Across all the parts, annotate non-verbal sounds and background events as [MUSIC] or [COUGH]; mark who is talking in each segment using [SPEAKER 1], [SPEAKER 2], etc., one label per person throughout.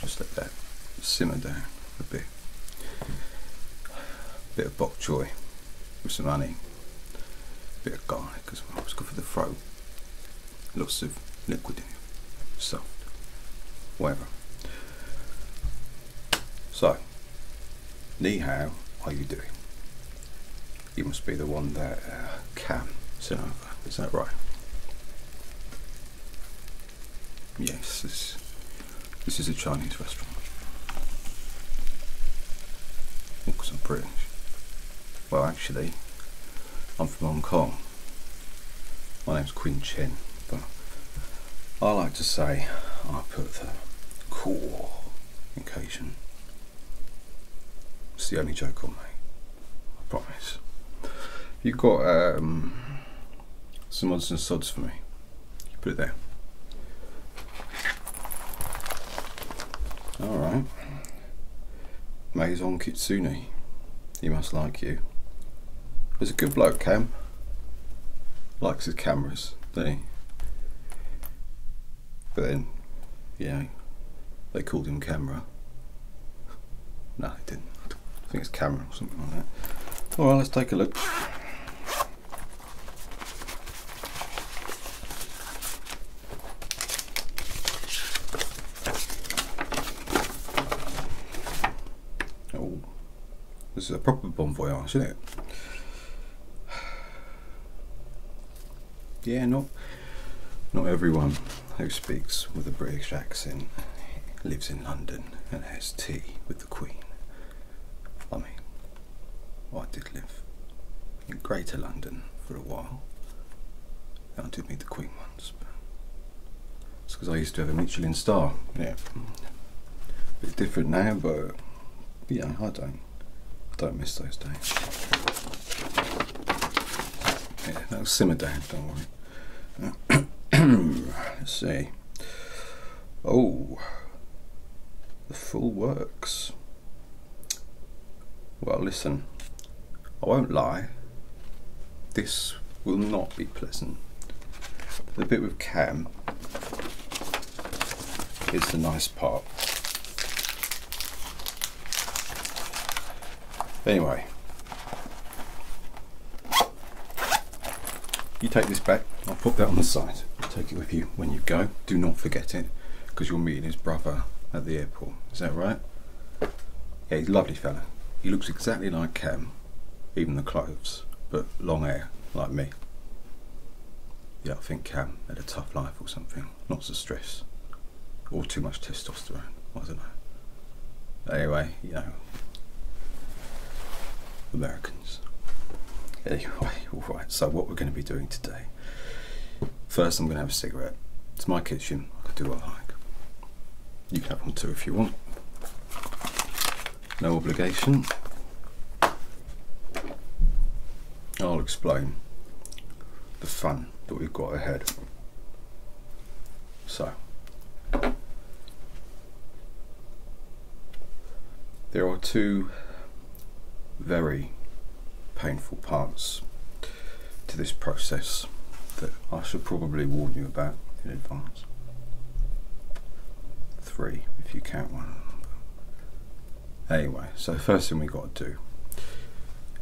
[SPEAKER 1] just let that simmer down a bit. A bit of bok choy with some honey, a bit of garlic as well. It's good for the throat elusive, liquid, soft, whatever. So, ni hao are you doing? You must be the one that uh, can Sonova, is that right? Yes, this, is a Chinese restaurant. Because I'm well, actually, I'm from Hong Kong. My name's Quinn Chin, but I like to say I put the core occasion. It's the only joke on me, I promise. You've got um, some odds and sods for me. put it there. Alright. Maison Kitsune. He must like you. He's a good bloke, Cam. Likes his cameras, They. But then, yeah, they called him Camera. [LAUGHS] no, they didn't. I think it's Camera or something like that. All right, let's take a look. Oh, this is a proper bon voyage, isn't it? [SIGHS] Yeah, not not everyone who speaks with a British accent lives in London and has tea with the Queen. I mean, I did live in Greater London for a while. That did meet the Queen once, it's because I used to have a Michelin star. Yeah. bit different now, but yeah, I don't. don't miss those days. Yeah, that'll simmer down, don't worry. [CLEARS THROAT] Let's see. Oh, the full works. Well, listen, I won't lie, this will not be pleasant. The bit with cam is the nice part. Anyway, you take this back, I'll put that on the side. Take it with you when you go. Do not forget it because you're meeting his brother at the airport. Is that right? Yeah, he's a lovely fella. He looks exactly like Cam, um, even the clothes, but long hair, like me. Yeah, I think Cam um, had a tough life or something. Lots of stress. Or too much testosterone, was not it? Anyway, you know, Americans. Anyway, [LAUGHS] alright, so what we're going to be doing today. First, I'm going to have a cigarette. It's my kitchen, I can do what I like. You can have one too if you want. No obligation. I'll explain the fun that we've got ahead. So, there are two very painful parts to this process that I should probably warn you about in advance. Three, if you count one. Anyway, so first thing we got to do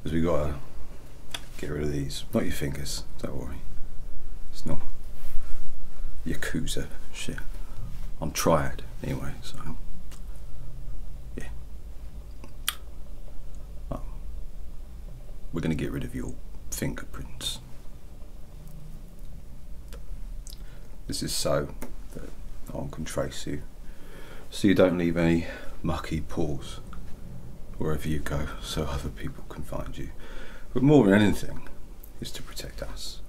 [SPEAKER 1] is we got to get rid of these. Not your fingers, don't worry. It's not Yakuza shit. I'm triad anyway, so yeah. Oh. We're going to get rid of your fingerprints. This is so that I can trace you, so you don't leave any mucky paws wherever you go, so other people can find you. But more than anything, is to protect us,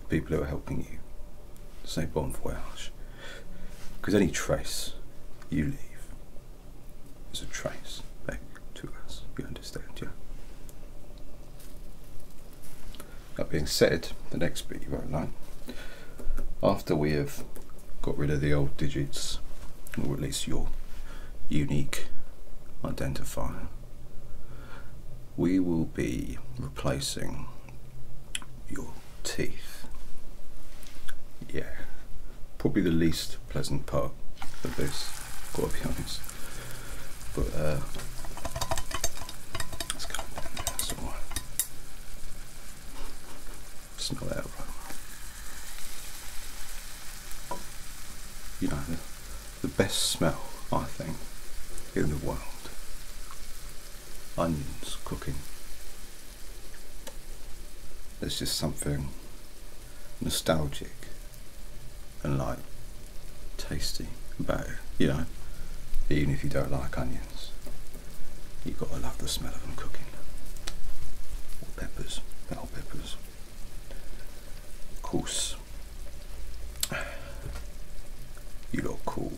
[SPEAKER 1] the people who are helping you. Say bon voyage, because any trace you leave is a trace back to us. You understand, yeah? That being said, the next bit you won't like. After we have got rid of the old digits, or at least your unique identifier, we will be replacing your teeth. Yeah, probably the least pleasant part of this, gotta be honest. But uh, it's kind of in there somewhere. You know, the best smell, I think, in the world. Onions cooking it's just something nostalgic and like tasty But you know. Even if you don't like onions, you've got to love the smell of them cooking. Or peppers, bell peppers. Of course, [SIGHS] you look cool.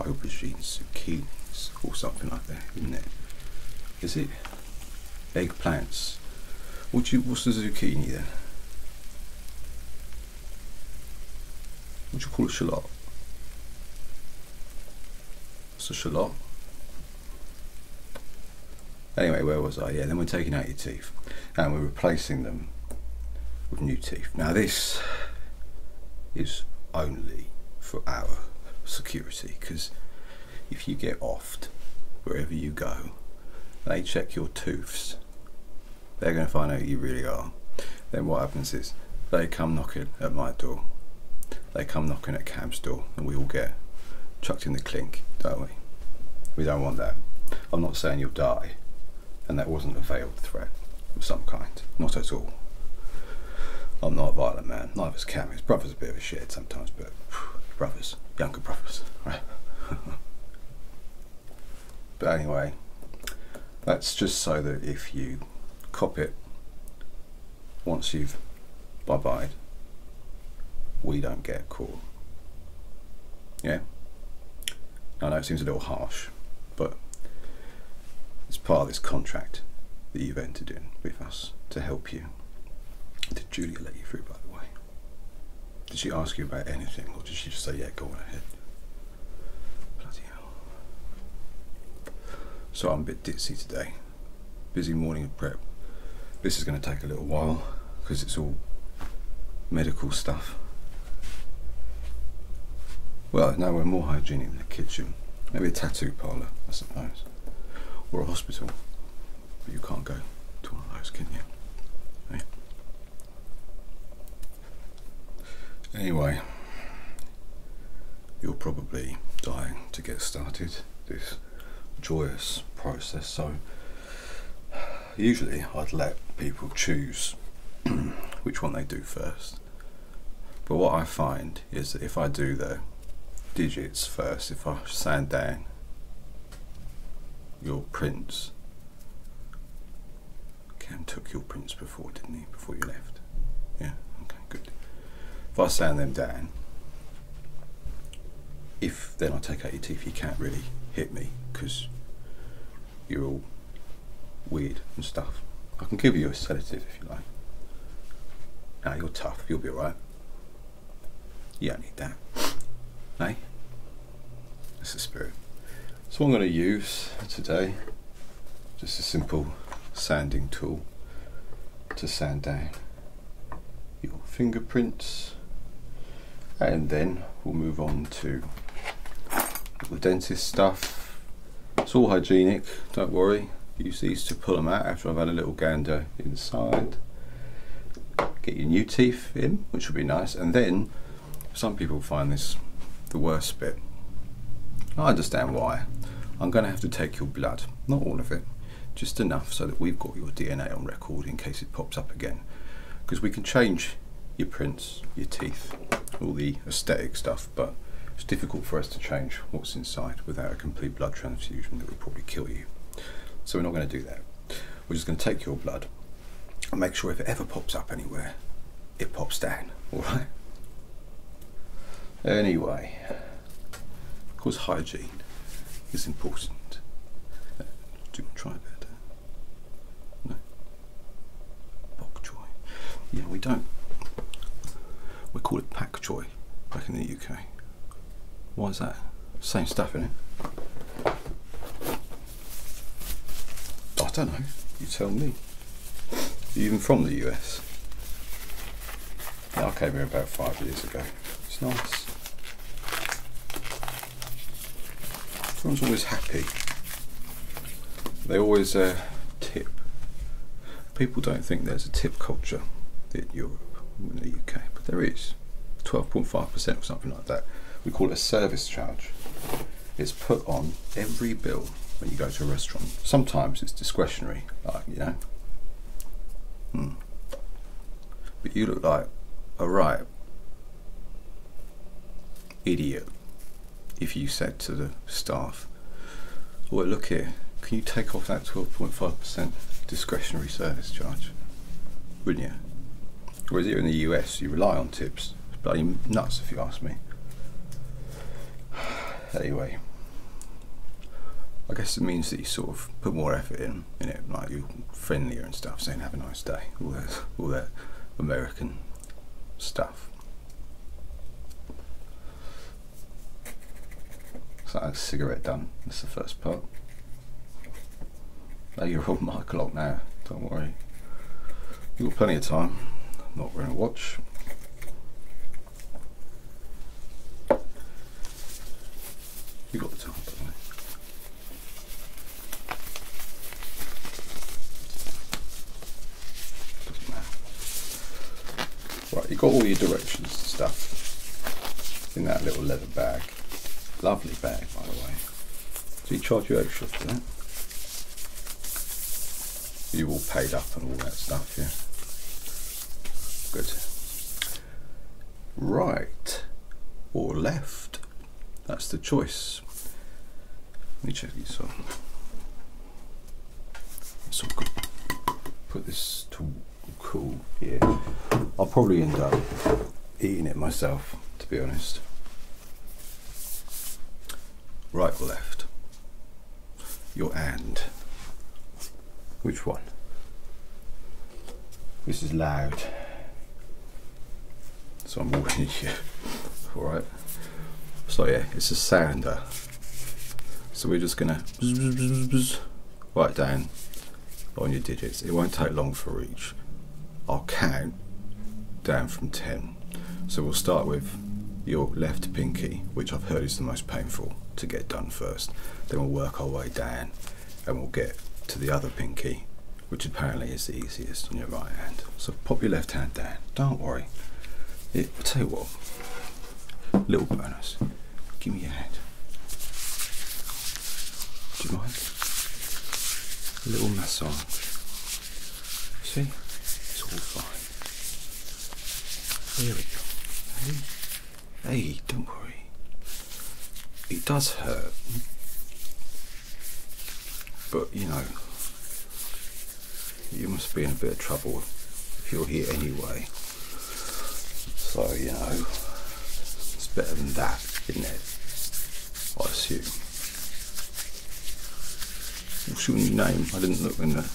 [SPEAKER 1] Aubergines, zucchinis, or something like that is isn't it? Is it? Eggplants. What you, what's the zucchini then? What do you call it, shallot? It's a shallot? Anyway, where was I? Yeah, then we're taking out your teeth and we're replacing them with new teeth. Now this is only for our security because if you get offed wherever you go, they check your tooths. They're going to find out who you really are. Then what happens is they come knocking at my door. They come knocking at Cam's door, and we all get chucked in the clink, don't we? We don't want that. I'm not saying you'll die, and that wasn't a veiled threat of some kind. Not at all. I'm not a violent man. Uh, not Life is camp. brother's a bit of a shit sometimes, but brothers, younger brothers, [LAUGHS] right? but anyway, that's just so that if you cop it once you've bye bye, we don't get caught. Yeah? I know it seems a little harsh, but it's part of this contract that you've entered in with us to help you. Did Julia let you through, by the way? Did she ask you about anything, or did she just say, yeah, go on ahead? Bloody hell. So I'm a bit ditzy today. Busy morning of prep. This is going to take a little while, because it's all medical stuff. Well, now we're more hygienic than a kitchen. Maybe a tattoo parlour, I suppose. Or a hospital. But you can't go to one of those, can you? Anyway, you're probably dying to get started this joyous process, so usually I'd let people choose [CLEARS THROAT] which one they do first. But what I find is that if I do the digits first, if I sand down your prints, Cam took your prints before, didn't he? Before you left. Yeah, okay, good. If I sand them down, if then I take out your teeth, you can't really hit me because you're all weird and stuff. I can give you a sedative if you are tough. You'll be alright. You don't need that. Hey? That's the spirit. So I'm going to use today just a simple sanding tool to sand down your fingerprints and then we'll move on to the dentist stuff it's all hygienic, don't worry. Use these to pull them out after I've had a little gander inside. Get your new teeth in, which will be nice. And then some people find this the worst bit. I understand why. I'm going to have to take your blood, not all of it, just enough so that we've got your DNA on record in case it pops up again. Because we can change your prints, your teeth, all the aesthetic stuff, but it's difficult for us to change what's inside without a complete blood transfusion that would probably kill you. So we're not going to do that. We're just going to take your blood and make sure if it ever pops up anywhere, it pops down, [LAUGHS] alright? Anyway, of course, hygiene is important. do try that? No. Bok choy. Yeah, we don't. We call it pak choi back in the UK. Why is that? Same stuff in it. I don't know. You tell me. even from the US. Yeah, I came here about five years ago. It's nice. Everyone's always happy. They always uh, tip. People don't think there's a tip culture in Europe, in the UK, but there is. 12.5% or something like that. We call it a service charge. It's put on every bill when you go to a restaurant. Sometimes it's discretionary, like, you know. Hmm. But you look like a right idiot if you said to the staff, well, look here, can you take off that 12.5% discretionary service charge? Wouldn't you? Whereas here in the US, you rely on tips. bloody nuts if you ask me. [SIGHS] Anyway, I guess it means that you sort of put more effort in, in it, like you're friendlier and stuff, saying have a nice day, all that, all that American stuff. So that's cigarette done. That's the first part. Oh, you're on my clock now. Don't worry. You've got plenty of time. not wearing a watch. You got the time, by the way. Right, you've got all your directions and stuff in that little leather bag. Lovely bag, by the way. So you charge you extra for that. You all paid up and all that stuff, yeah. Good. Right or left, that's the choice. Let me check these off. So we'll put this to cool here. I'll probably end up eating it myself, to be honest. Right or left? Your and. Which one? This is loud. So I'm warning here. Alright? So yeah, it's a sander. So we're just gonna bzz, right down on your digits. It won't take long for each. I'll count down from 10. So we'll start with your left pinky, which I've heard is the most painful to get done first. Then we'll work our way down and we'll get to the other pinky, which apparently is the easiest on your right hand. So pop your left hand down. Don't worry. It, I'll tell you what, Little bonus. Give me your hand. Do you mind? A little massage. See? It's all fine. Here we go. Hey, hey don't worry. It does hurt. But, you know, you must be in a bit of trouble if you're here anyway. So, you know, it's better than that, isn't it? I assume. What's your name? I didn't look in the.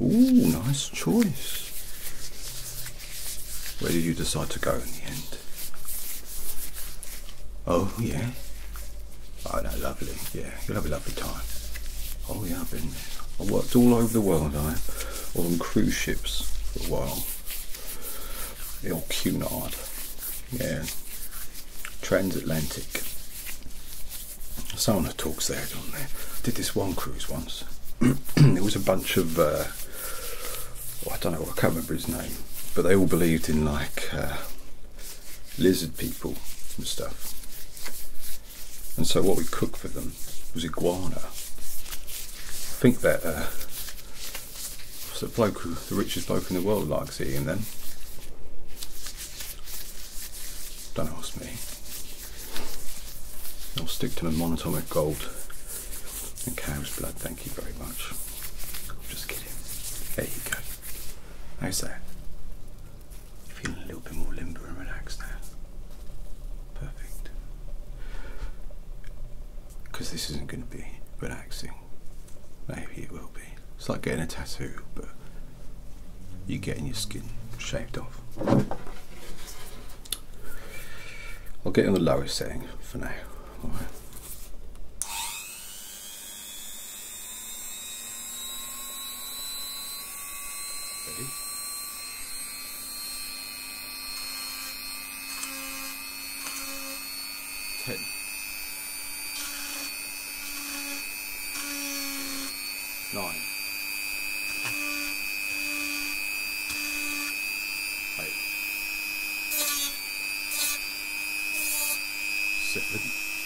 [SPEAKER 1] Oh, nice choice. Where did you decide to go in the end? Oh, yeah. Oh no, lovely. Yeah, you'll have a lovely time. Oh yeah, I've been. I worked all over the world. I on cruise ships for a while. Il Cunard. Yeah. Transatlantic. Someone who talks there, don't they? I did this one cruise once. There [CLEARS THROAT] was a bunch of. Uh, oh, I don't know, I can't remember his name, but they all believed in like uh, lizard people and stuff. And so what we cooked for them was iguana. I think that uh, the bloke, who, the richest bloke in the world, likes eating them. Don't ask me. I'll stick to the monatomic gold and cow's blood. Thank you very much. I'm just kidding. There you go. How's that? Feeling a little bit more limber and relaxed now. Perfect. Because this isn't going to be relaxing. Maybe it will be. It's like getting a tattoo, but you're getting your skin shaved off. I'll get in the lowest setting for now. Ready? Ten. Nine. Eight. Seven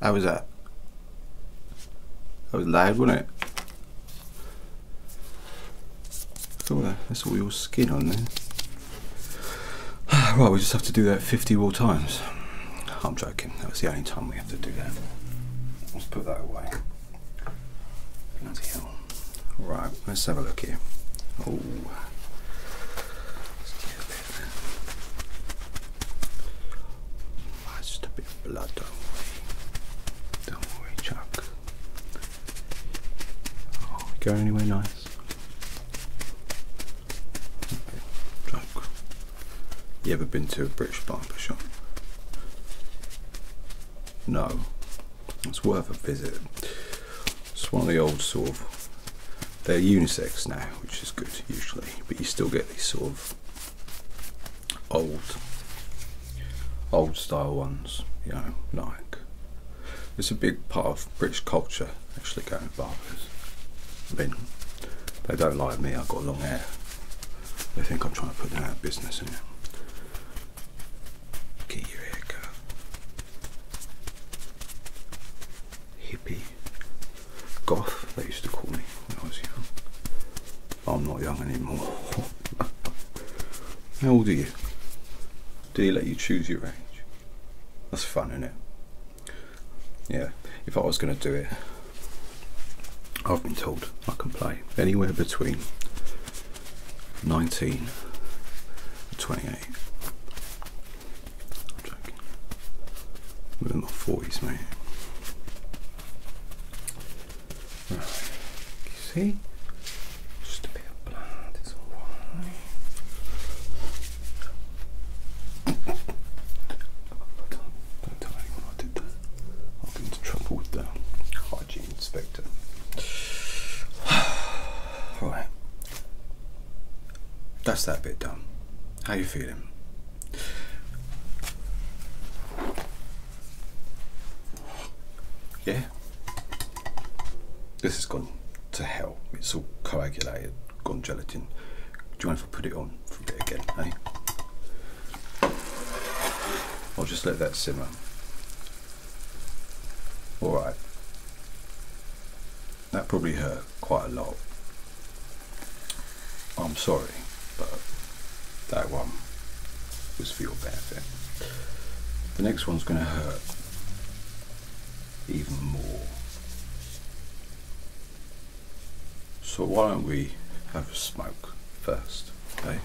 [SPEAKER 1] How was that? That was loud, wasn't it? Cool, that's all your skin on there. [SIGHS] right, we just have to do that 50 more times. I'm joking, that was the only time we have to do that. Let's put that away. Bloody hell. Right, let's have a look here. Oh. Must be blood away. Don't worry, Chuck. Oh, we go anywhere nice. Chuck. You ever been to a British barber shop? No. It's worth a visit. It's one of the old sort they're unisex now, which is good usually, but you still get these sort of old, old style ones, you know, Nike. It's a big part of British culture actually going barbers. I mean, they don't like me, I've got long hair. They think I'm trying to put them out of business, innit? Get your hair cut. Hippie Goth, they used to call me when I was young. I'm not young anymore. [LAUGHS] How old are you? Do they let you choose your age? That's fun, isn't it? Yeah, if I was going to do it, I've been told I can play anywhere between 19 and 28. I'm joking. We're in my 40s, mate. Right. see? Just a bit of blood is Don't, tell anyone I did that. I'll get into trouble with the hygiene inspector. Alright, [SIGHS] That's that bit done. How you feeling? Yeah. This has gone to hell. It's all coagulated, gone gelatin. Do you want if I put it on for a bit again, eh? I'll just let that simmer. Alright. That probably hurt quite a lot. I'm sorry, but that one was for your benefit. The next one's going to hurt even more. So why don't we have a smoke first, okay? Eh?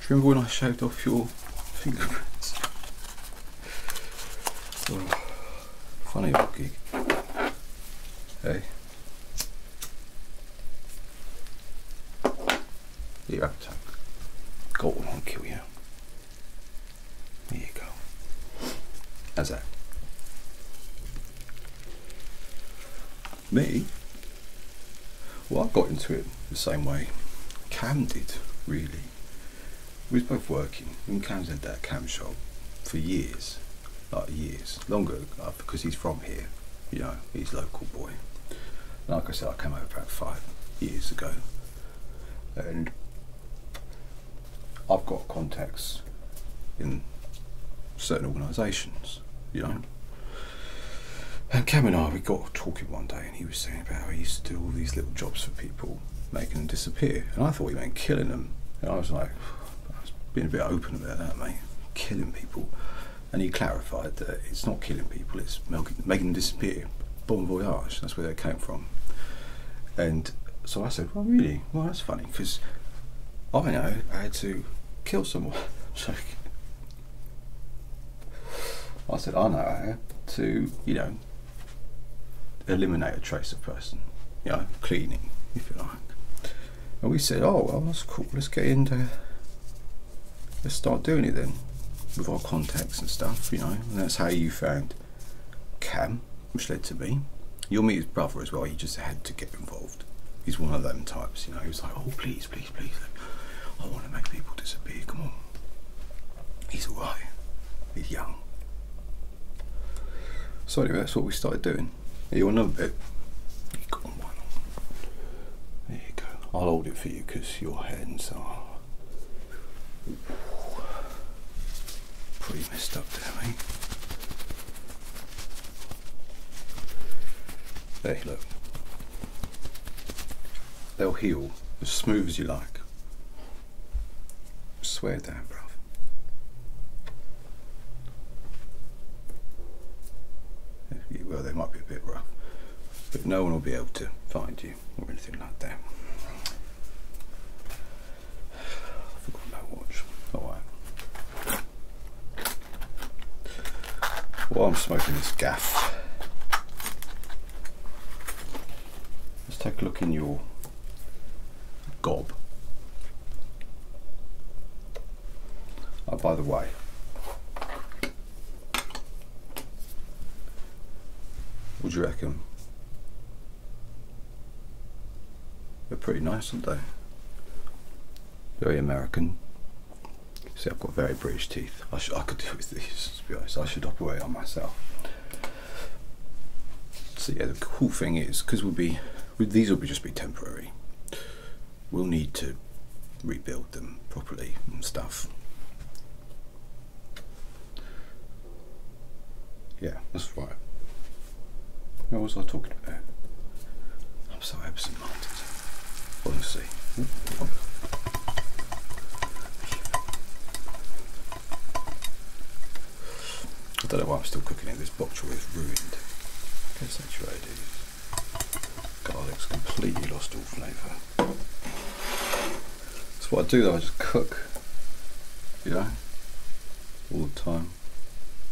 [SPEAKER 1] Do you remember when I shaved off your [LAUGHS] fingerprints? Oh. Funny old gig. Hey. Eat your appetite. Go won't kill you. There you go. How's that? Me? Well, I got into it the same way Candid, really industry. We was both working. in came at that cam shop for years, like years, longer because he's from here. You know, he's local boy. Like I said, I came over about five years ago, and I've got contacts in certain organisations. You know. And Cam and I, we got talking one day, and he was saying about how he used to do all these little jobs for people making them disappear. And I thought he meant killing them. And I was like, I was being a bit open about that, mate. Killing people. And he clarified that it's not killing people, it's making them disappear. Bon voyage, that's where they came from. And so I said, well, really? Well, that's funny, because I know I had to kill someone. [LAUGHS] so I said, I know how to, you know, eliminate a trace of person, you know, cleaning, if you like. And we said, oh, well, that's cool, let's get into, let's start doing it then, with our contacts and stuff, you know, and that's how you found Cam, which led to me. You'll meet his brother as well, he just had to get involved. He's one of them types, you know, he was like, oh, please, please, please, I want to make people disappear, come on. He's alright, he's young, so anyway, that's what we started doing. You'll know bit. There you go. I'll hold it for you because your hands are pretty messed up there, mate. There, look. They'll heal as smooth as you like. Swear to You Well, they might be a bit rough, but no one will be able to find you or anything like that. I forgot watch. Alright. While I'm smoking this gaff, let's take a look in your Gob. Oh, by the way, what do you reckon? They're pretty nice, aren't they? Very American. See, I've got very British teeth. I, could do with these, to be honest. I should operate on myself. So yeah, the cool thing is, because we'll be, these will be just be temporary. We'll need to rebuild them properly and stuff. Yeah, that's right. What was I talking about? I'm so absent-minded. Let's see. I don't know why I'm still cooking it. This box choy is ruined. Concentrated. Garlic's completely lost all flavour. That's what I do though, I just cook, you know, all the time.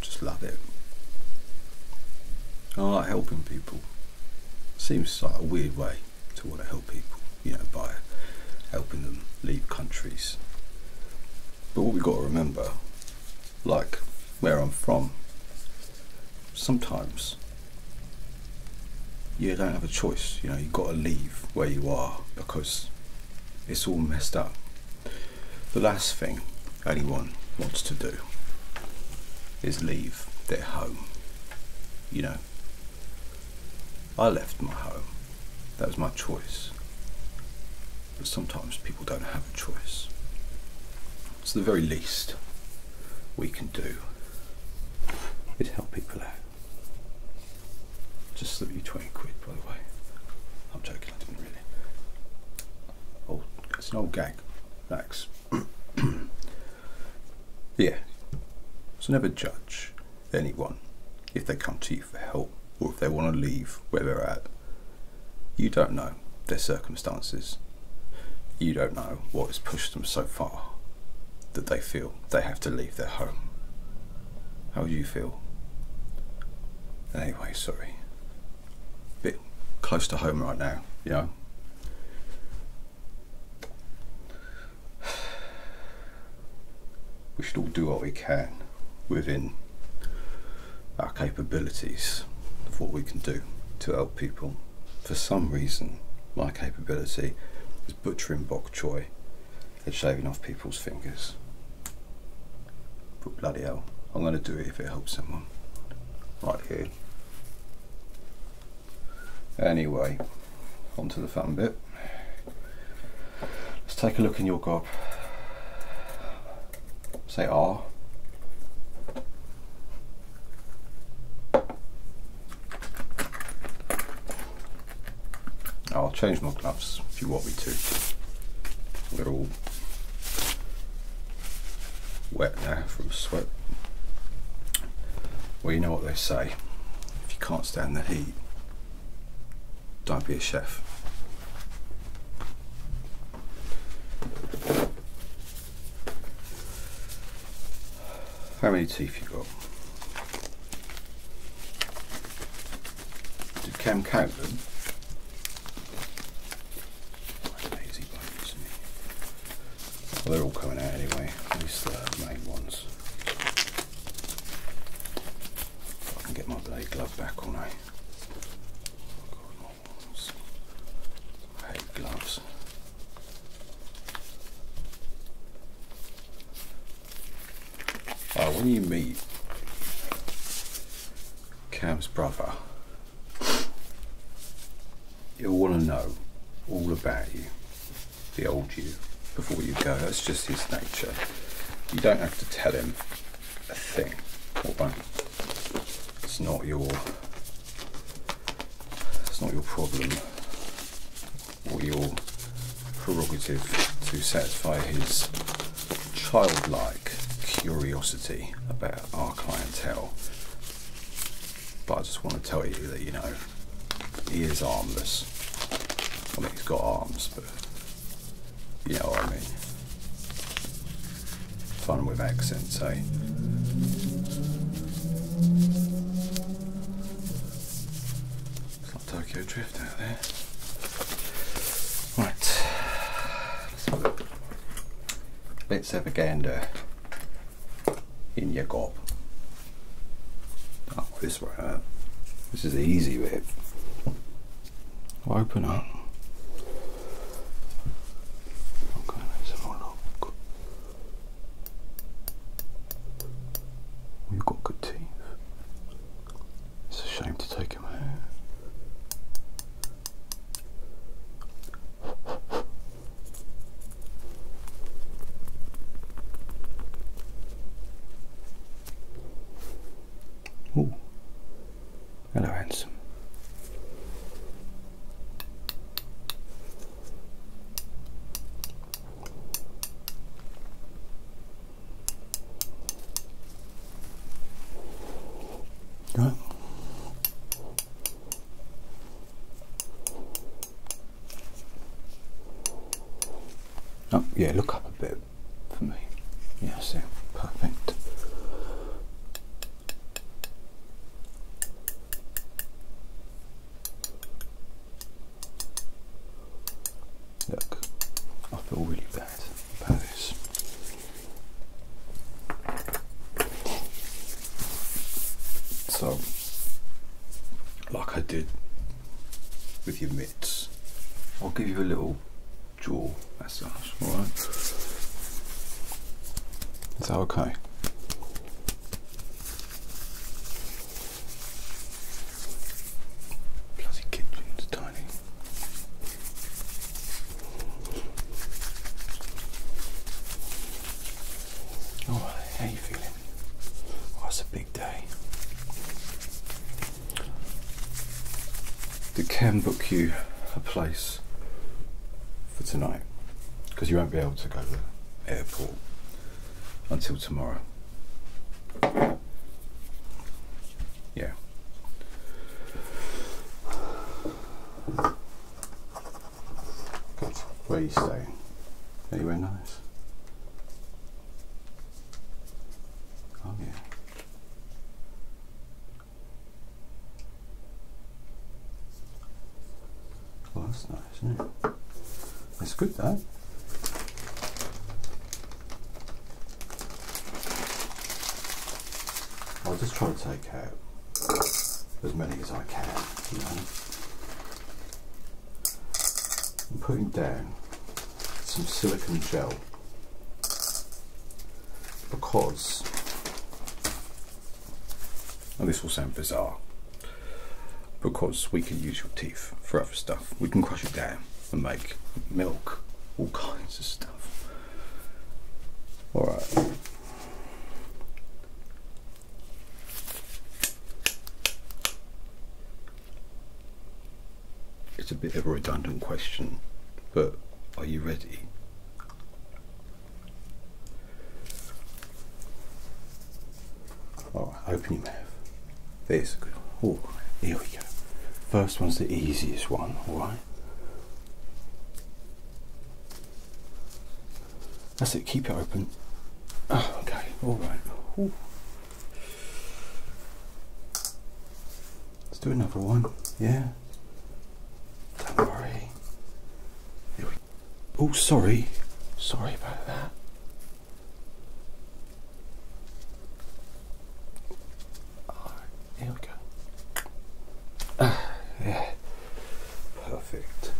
[SPEAKER 1] Just love it. I like helping people. Seems like a weird way to want to help people you know, by helping them leave countries. But what we've got to remember, like where I'm from, sometimes you don't have a choice. You know, you've got to leave where you are because it's all messed up. The last thing anyone wants to do is leave their home. You know, I left my home. That was my choice. But sometimes people don't have a choice. It's the very least we can do is help people out. Just slip you 20 quid, by the way. I'm joking, I didn't really. Oh, it's an old gag. Thanks. [CLEARS THROAT] yeah. So never judge anyone if they come to you for help or if they want to leave where they're at. You don't know their circumstances. You don't know what has pushed them so far that they feel they have to leave their home. How do you feel? Anyway, sorry. Bit close to home right now, you know? [SIGHS] we should all do what we can within our capabilities of what we can do to help people. For some reason, my capability is butchering bok choy and shaving off people's fingers. But bloody hell, I'm going to do it if it helps someone. Right here. Anyway, onto the fun bit. Let's take a look in your gob. Say R. I'll change my gloves if you want me to. They're all wet now from sweat. Well, you know what they say if you can't stand the heat, don't be a chef. How many teeth you got? Did Cam count them? Well, they're all coming out anyway, at least the main ones. I can get my blade glove back on, eh? I hate gloves. Oh, when you meet Cam's brother, you'll want to know all about you the old you before you go. That's just his nature. You don't have to tell him a thing or It's not your it's not your problem or your prerogative to satisfy his childlike curiosity about our clientele. But I just want to tell you that, you know, he is armless. I mean, he's got arms, but you know what I mean. Fun with accents, eh? It's not Tokyo Drift out there. Right. Let's have a, let gander in your gob. Oh, uh, this is the easy way. open up. You've got good teeth. It's a shame to take them out. Ooh. Hello, handsome. Right. Oh, yeah, look up a bit for me. Yeah, so perfect. Look, I feel really bad about this. So, like I did with your I'll give you a little jaw massage, alright? Is that okay? Bloody Kipling's tiny. Alright, how you feeling? Oh, a big day that can book you a place for tonight because you won't be able to go to the airport until tomorrow. Yeah. Where are you staying? Anywhere nice? Oh yeah. Well, that's nice, isn't it? That's good, though. I'll just try to take out as many as I can, you know. I'm putting down some silicon gel because and this will sound bizarre because we can use your teeth for other stuff we can crush it down and make milk all kinds of stuff all right it's a bit of a redundant question, but are you ready? Alright, open your mouth. There's a good one. Oh, here we go. First one's the easiest one, alright? That's it, keep it open. Oh, okay, alright. Let's do another one. Yeah. Don't worry. Oh, sorry. Sorry about that. Right, here we go. [SIGHS] yeah. Perfect.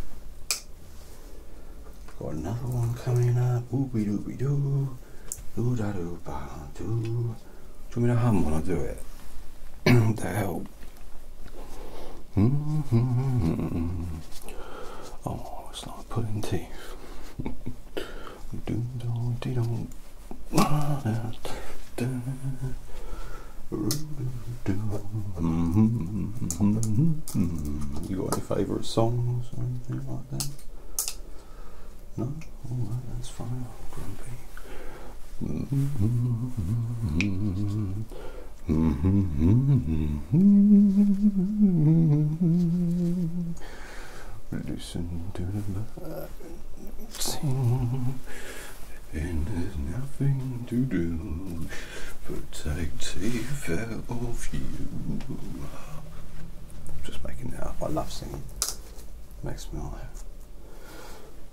[SPEAKER 1] Got another one coming up. Ooby dooby doo. Do [CLEARS THROAT] [LAUGHS] you want me to hum when I do it? to help. Oh, it's like pulling teeth. do do dee do. You got any favourite songs or anything like that? No? Oh, that's fine. Grumpy. Reducing to the scene. And there's nothing to do but take take care of you just making that up. I love singing. It makes me laugh.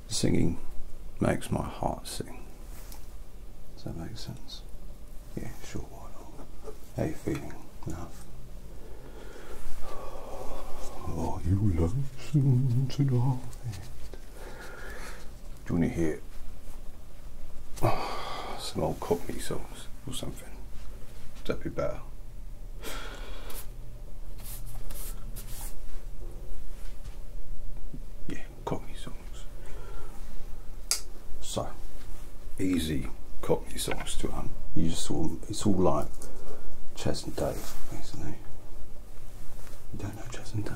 [SPEAKER 1] Singing makes my heart sing. Does that make sense? Yeah, sure, why not? How you feeling, love? Oh, you lonesome tonight? Do you want to hear some old Cockney song? or something. That'd be better. Yeah, Cockney songs. So, easy Cockney songs to um. You just all, it's all like Chess and Dave, basically. You don't know Chess and Dave.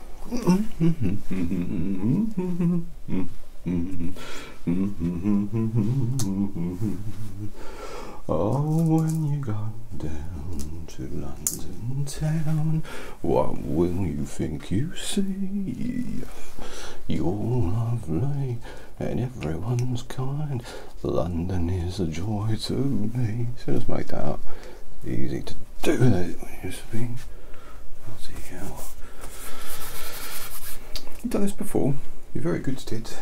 [SPEAKER 1] Oh, when you got down to London town, what will you think you see? You're lovely and everyone's kind. London is a joy to me. So just make that Easy to do that it used to be. Bloody hell. You've done this before. You're very good at it.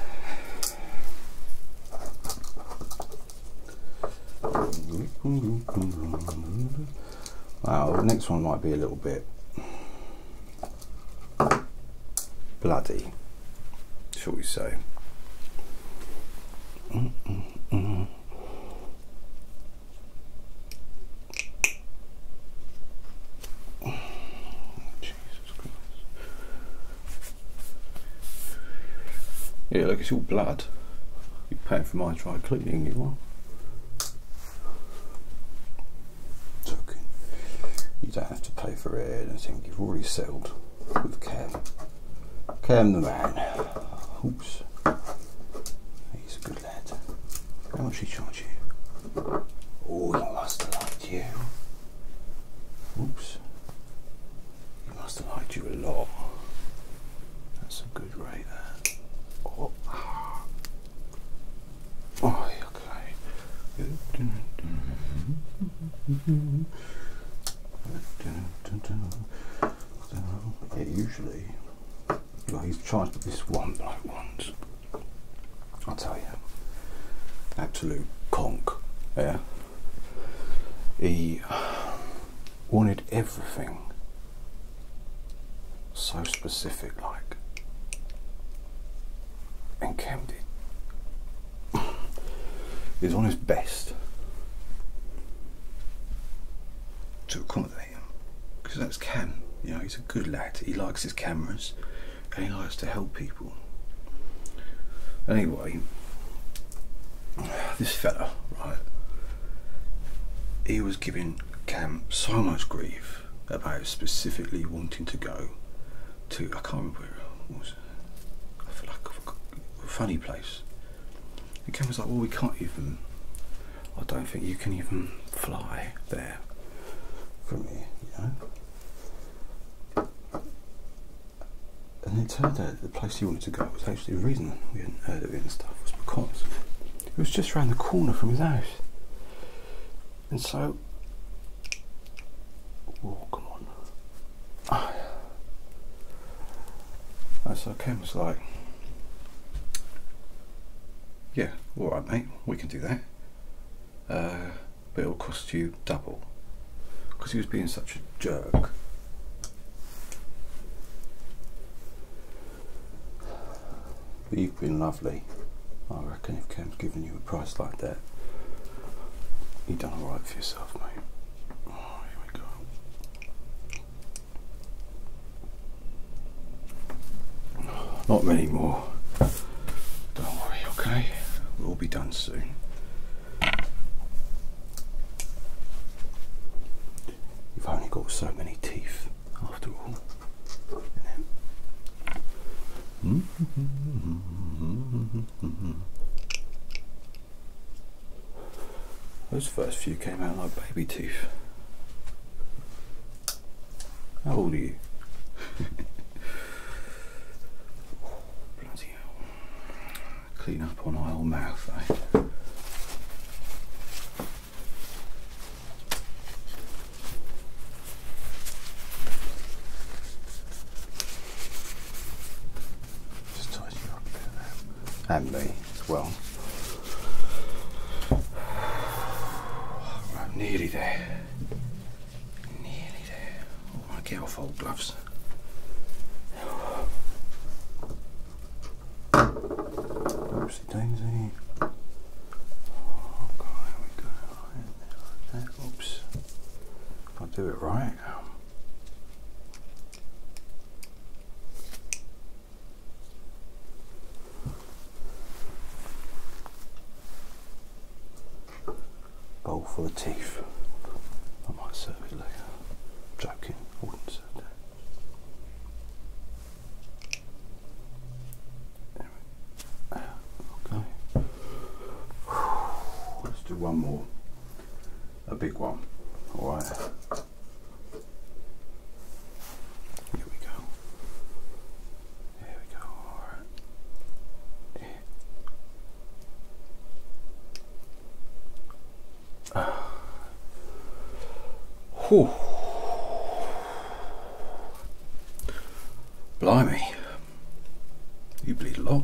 [SPEAKER 1] Wow, the next one might be a little bit bloody, shall we say. Oh, Jesus Christ. Yeah, look, it's all blood. you pay for my dry cleaning, you are. Talking. You don't have to pay for it, I think you've already settled with Cam. Cam the man. Oops. He's good how much did he you? Oh, he must have liked you. Oops. He must have liked you a lot. That's a good rate there. Oh, oh okay. [LAUGHS] usually he's tried this one bloke once. I'll tell you. Absolute conk. Yeah. He wanted everything so specific like and Cam did. he on his best to accommodate him because that's Cam. You know, he's a good lad. He likes his cameras and he likes to help people. Anyway, [SIGHS] this fella, right, he was giving Cam so much grief about specifically wanting to go to, I can't remember where it was, I feel like a funny place. And Cam was like, well, we can't even I don't think you can even fly there from here, you And it turned out the place he wanted to go was actually the reason we hadn't heard of it and stuff was because it was just around the corner from his house. And so, oh, come on. Oh, yeah. And was like, yeah, alright mate, we can do that. Uh, but it'll cost you double. Because he was being such a jerk. you've been lovely. I reckon if Cam's given you a price like that, you've done alright for yourself, mate. Oh, here we go. Not many more. Don't worry, okay? We'll be done soon. You've only got so many teeth, after all. [LAUGHS] Those first few came out like baby teeth. How old are you? [LAUGHS] Bloody hell. Clean up on aisle mouth, eh? Just tidy up a there and me as well. Right, nearly there. Nearly there. Oh, I get off old gloves. Oopsie daisy. Oh, Oops. If I do it right. Bowl for the teeth. I might serve it later. i joking, I wouldn't serve that. Let's do one more. A big one. Alright. Here we go. Here we go. All right. Yeah. [SIGHS] Uh. Blimey, you bleed a lot.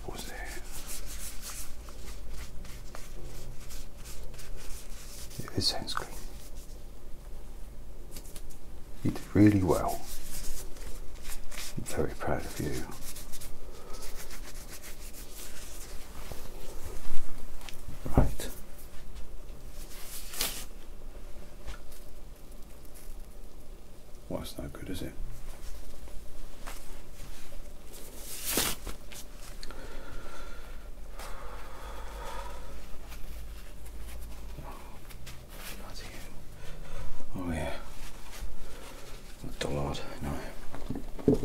[SPEAKER 1] posé. It's sunscreen. You did really well. I'm very proud of you. Right. Well, that's no good, is it? Oh, yeah. A dollard, no.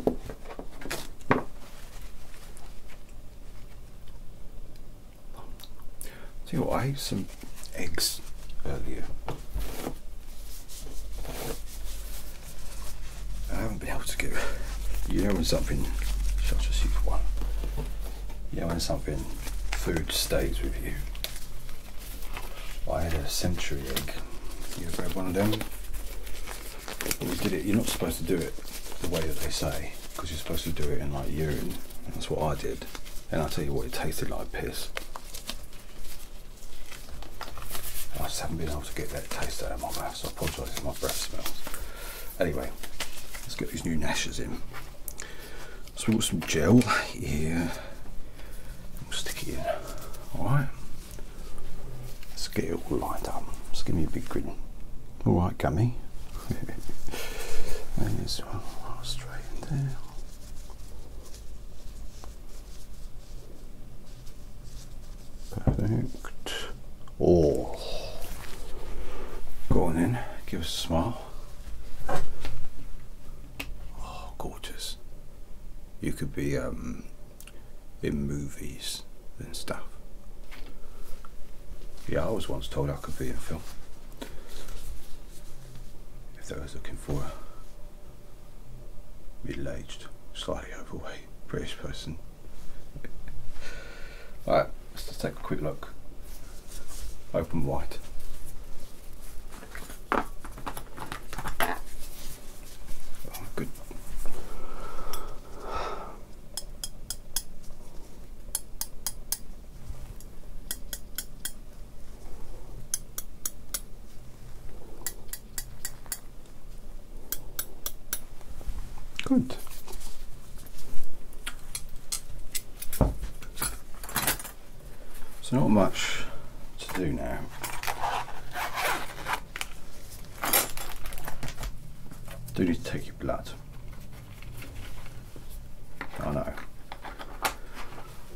[SPEAKER 1] See what, I ate some eggs earlier. I haven't been able to get. You know when something. Shall I just use one? You know when something, food stays with you. I had a century egg. You have grab one of them. When you did it, you're not supposed to do it the way that they say, because you're supposed to do it in like urine. That's what I did. And i tell you what, it tasted like piss. I just haven't been able to get that taste out of my mouth, so I apologise if my breath smells. Anyway, let's get these new Nashes in. So we've got some gel here. We'll stick it in. Alright. Scale us get lined up. Just give me a big grin. Alright, gummy. [LAUGHS] and this straight in there. Perfect. Oh. Go on in, give us a smile. Oh, gorgeous. You could be um, in movies and stuff. Yeah, I was once told I could be in film if those looking for a middle-aged, slightly overweight British person. Alright, [LAUGHS] let's just take a quick look. Open white. Oh, good. Good. So not much to do now. Do need to take your blood. I know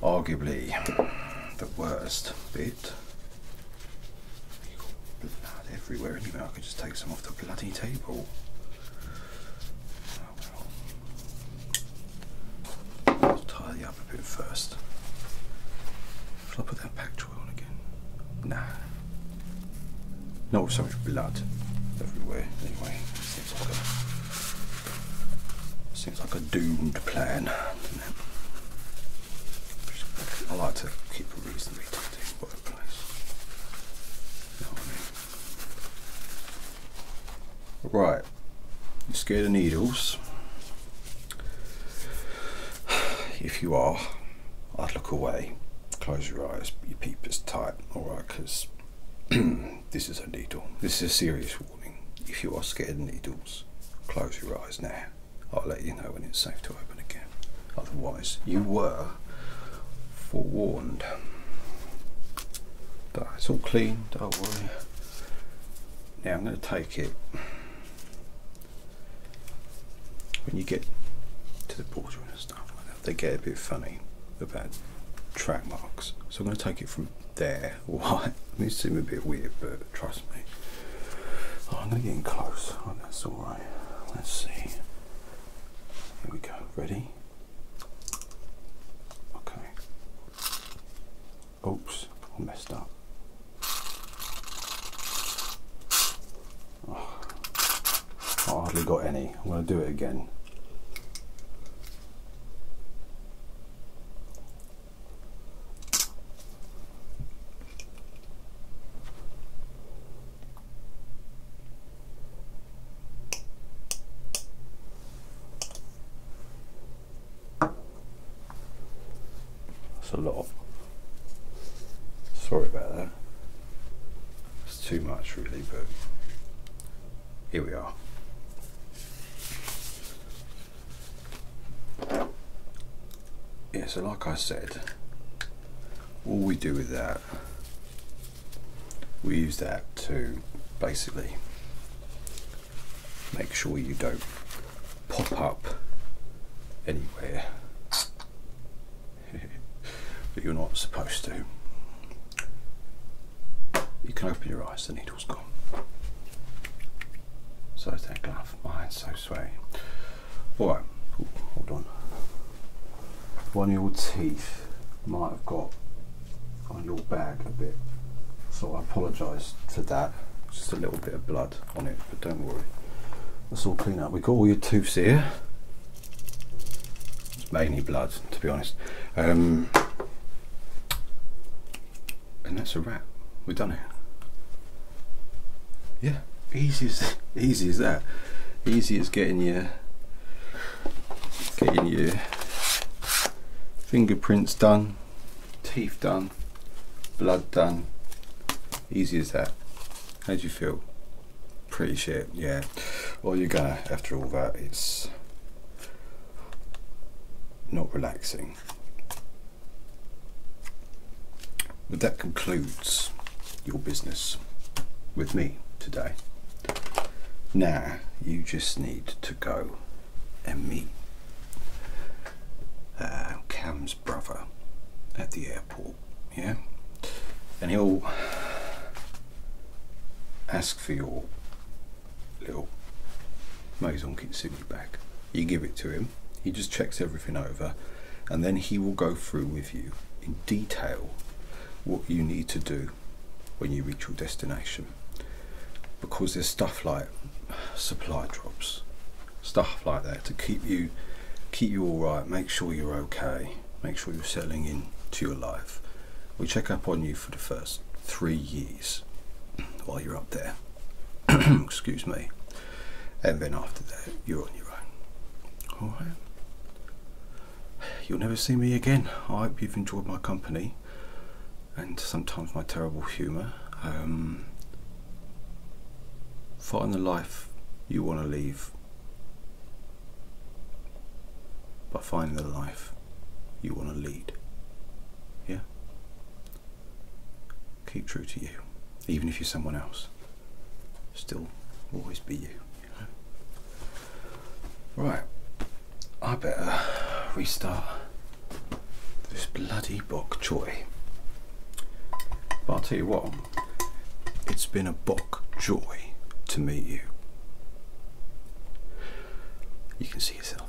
[SPEAKER 1] arguably the worst bit. Blood everywhere, anyway. I could just take some off the bloody table. Oh, well. I'll tidy up a bit first. Shall I put that pack toy on again? Nah. No, so much blood everywhere. Anyway, seems like Seems like a doomed plan, I like to keep a reasonably tidy workplace. Right, you scared of needles? If you are, I'd look away. Close your eyes, your peep is tight, alright, because [CLEARS THROAT] this is a needle. This is a serious if you are scared of needles, close your eyes now. I'll let you know when it's safe to open again. Otherwise, you were forewarned. But it's all clean, don't worry. Now I'm going to take it. When you get to the portal and stuff like that, they get a bit funny about track marks. So I'm going to take it from there [LAUGHS] white. They seem a bit weird, but trust me. Oh, I'm going to get in close. Oh, that's all right. Let's see. Here we go. Ready? Okay. Oops, I messed up. Oh, I hardly got any. I'm going to do it again. That's a lot. Sorry about that. It's too much really, but here we are. Yeah, so like I said, all we do with that, we use that to basically make sure you don't pop up anywhere that [LAUGHS] you're not supposed to. You can open your eyes, the needle. So is that glove. My so sweaty. Alright, hold on. One of your teeth might have got on your bag a bit. So I apologise for that. Just a little bit of blood on it, but don't worry. That's all clean up. We've got all your teeth here. It's mainly blood, to be honest. Um, and that's a wrap. We've done it. Yeah, easy as [LAUGHS] easy as that. Easy as getting your getting your fingerprints done, teeth done, blood done. Easy as that. How do you feel? Pretty shit, yeah. Well, you're gonna after all that. It's not relaxing. But that concludes your business with me today. Now you just need to go and meet uh, Cam's brother at the airport, yeah? And he'll ask for your little Maison Kintsugi back. You give it to him, he just checks everything over, and then he will go through with you in detail what you need to do when you reach your destination. Because there's stuff like supply drops, stuff like that to keep you keep you all right, make sure you're okay, make sure you're settling in to your life. We check up on you for the first three years while you're up there. [CLEARS THROAT] Excuse me. And then after that, you're on your own. Alright? You'll never see me again. I hope you've enjoyed my company and sometimes my terrible humour. Um, find the life you want to leave But find the life you want to lead. Yeah? Keep true to you, even if you're someone else. Still always be you. Right, I better restart this bloody bok choy. But i tell you what, it's been a bok joy to meet you. You can see yourself.